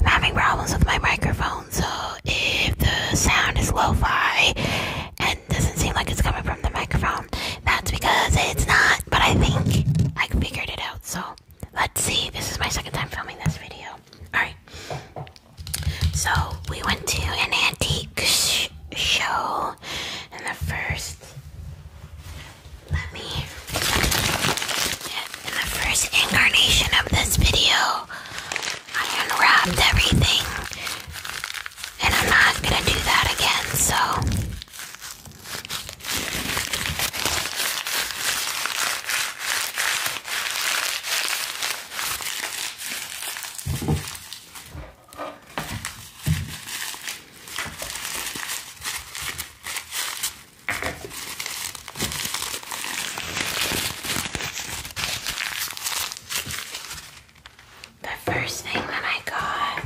I'm having problems with my microphone, so if the sound is lo fi and doesn't seem like it's coming from the microphone, that's because it's not. But I think I figured it out, so let's see. This is my second time filming this video. Alright. So we went to an antique show, and the first let me. In the first incarnation of this video, I unwrapped everything. And I'm not gonna do that again, so. The first thing that I got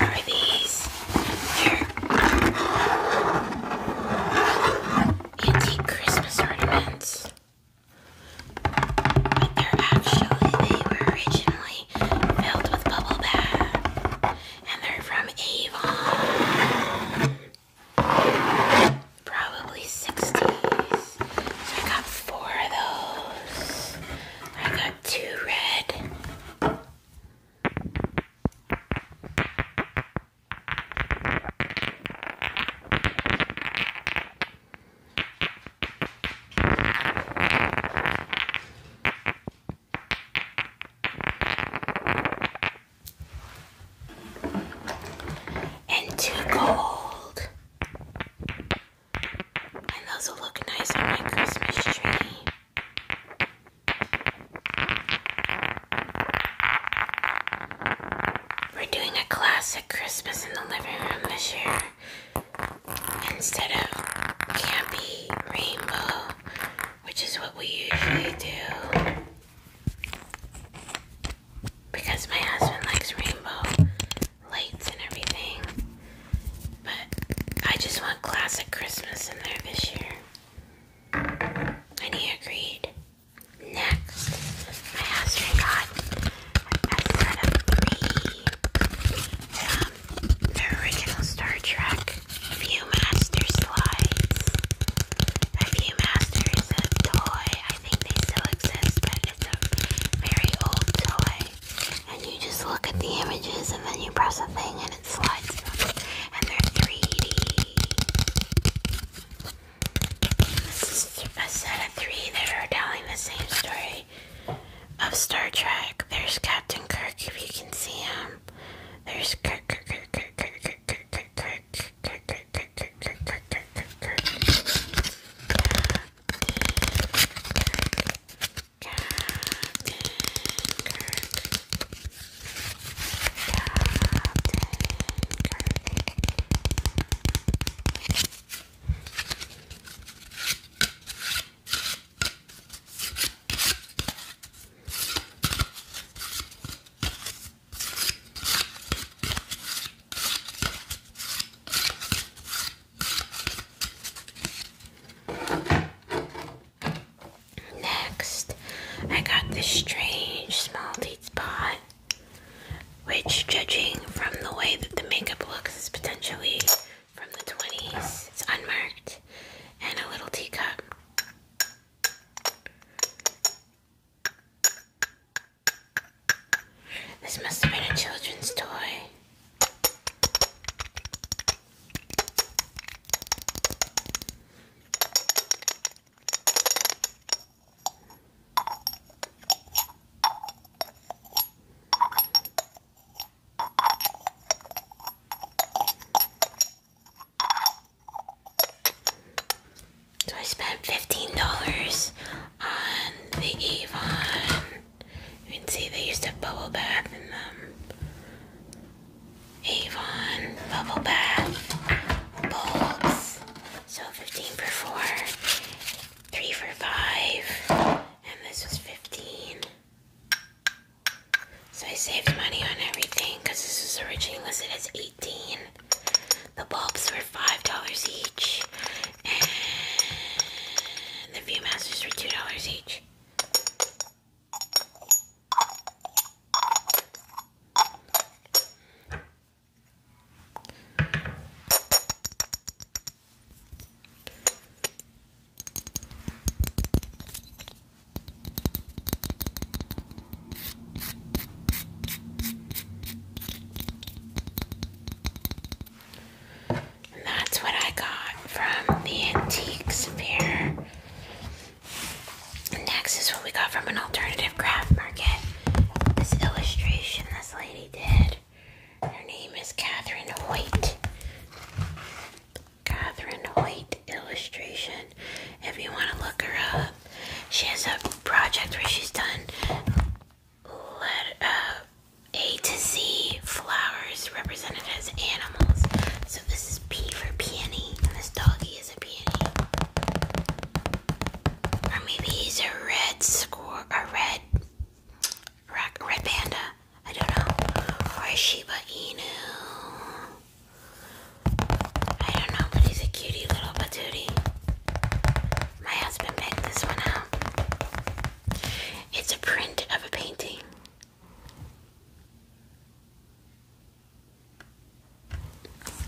are these here antique Christmas ornaments. But they're actually they were originally filled with bubble bath and they're from Avon. Probably 60s. So I got four of those. I got two red and too cold. And those will look nice on my Christmas tree. We're doing a classic Christmas in the living room this year instead of campy rainbow, which is what we usually do. Because my husband likes rainbow lights and everything. But I just want classic Christmas in there this year. And he agreed. Next, my husband got a of three um, the original Star Trek Viewmaster slides. The Viewmaster is a toy. I think they still exist, but it's a very old toy. And you just look at the images and then you press a thing and it slides And they're 3D. set of three that are telling the same story of Star Trek. There's Captain Kirk, if you can see him. There's Kirk, Kirk, Kirk, Kirk, Kirk, Kirk, Kirk, Kirk, Kirk, Kirk, Kirk, Kirk, Kirk, Kirk, Kirk, Next, I got this strange small teeth spot which, judging from the way that the makeup looks, is potentially from the 20s. It's unmarked and a little teacup. This must have been a children's toy. So I spent $15 on the Avon. You can see they used a bubble bath in the Avon bubble bath bulbs. So 15 for 4, 3 for 5, and this was 15. So I saved money on everything because this was originally listed as 18. The bulbs were $5 each, and the Viewmasters were $2 each. And that's what I got from the antiques fair. Next is what we got from an alternative craft market. This illustration this lady did. Her name is Catherine Hoyt. Catherine Hoyt illustration. If you want to look her up, she has a project where she's done uh, A to Z flowers represented as animals. So this is P for peony, and this doggy is or maybe he's a red squirrel, a red, a red panda. I don't know. Or a Shiba Inu. I don't know, but he's a cutie little patootie. My husband picked this one out. It's a print of a painting.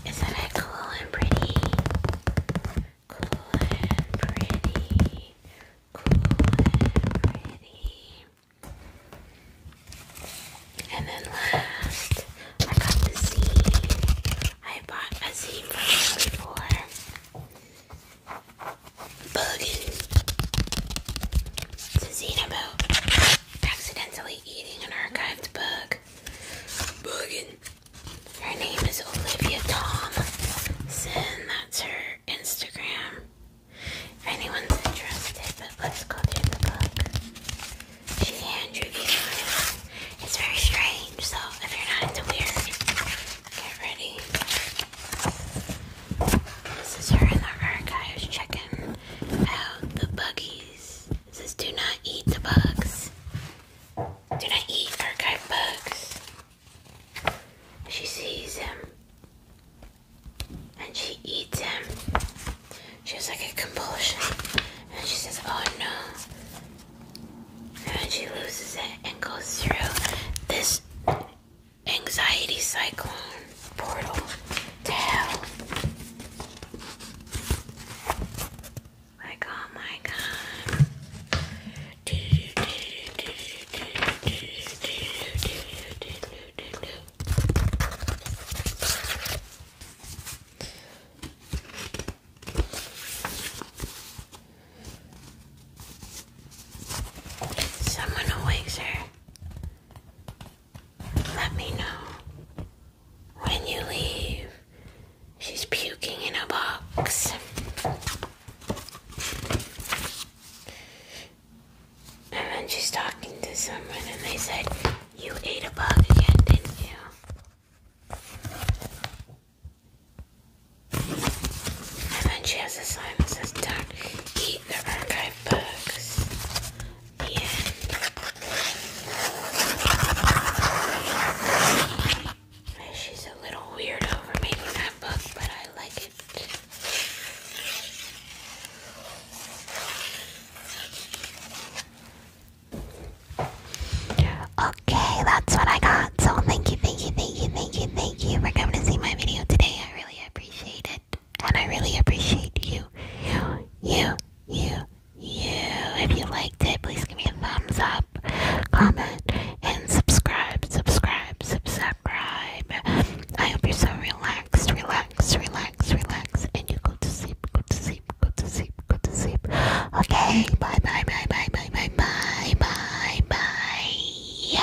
Isn't it cool and pretty? Cool and pretty. Cool and pretty. And then last, I got the zine. bought a from him before. It's a zine accidentally currently eating an archived bug. Buggin. Her name is Olivia Tom. Thompson. That's her Instagram. If anyone's interested, but let's go through the book. She hand reviewed It's very strange, so if you're not into weird, get ready. This is her in the archives checking out the buggies these. says do not eat the bugs. Do not eat archive bugs. She sees him. And she eats him. She has like a compulsion. And she says, oh no. And she loses it and goes through this anxiety cyclone portal to hell. Like, oh my god. Someone awakes her. Let me know when you leave. She's puking in a box. And then she's talking to someone, and they said, You ate a bug again, didn't you? And then she has a sign that says, Don't eat the archive five bucks. She's a little weird over making that book, but I like it. Okay, that's what I got. So thank you, thank you, thank you, thank you, thank you for coming to see my video today. I really appreciate it and I really appreciate you, you, you, you, you. If you liked it, please give me a thumbs up, comment, and subscribe, subscribe, subscribe. I hope you're so relaxed, relaxed, relaxed, relaxed, and you go to sleep, go to sleep, go to sleep, go to sleep. Okay, bye, bye, bye, bye, bye, bye, bye, bye, bye.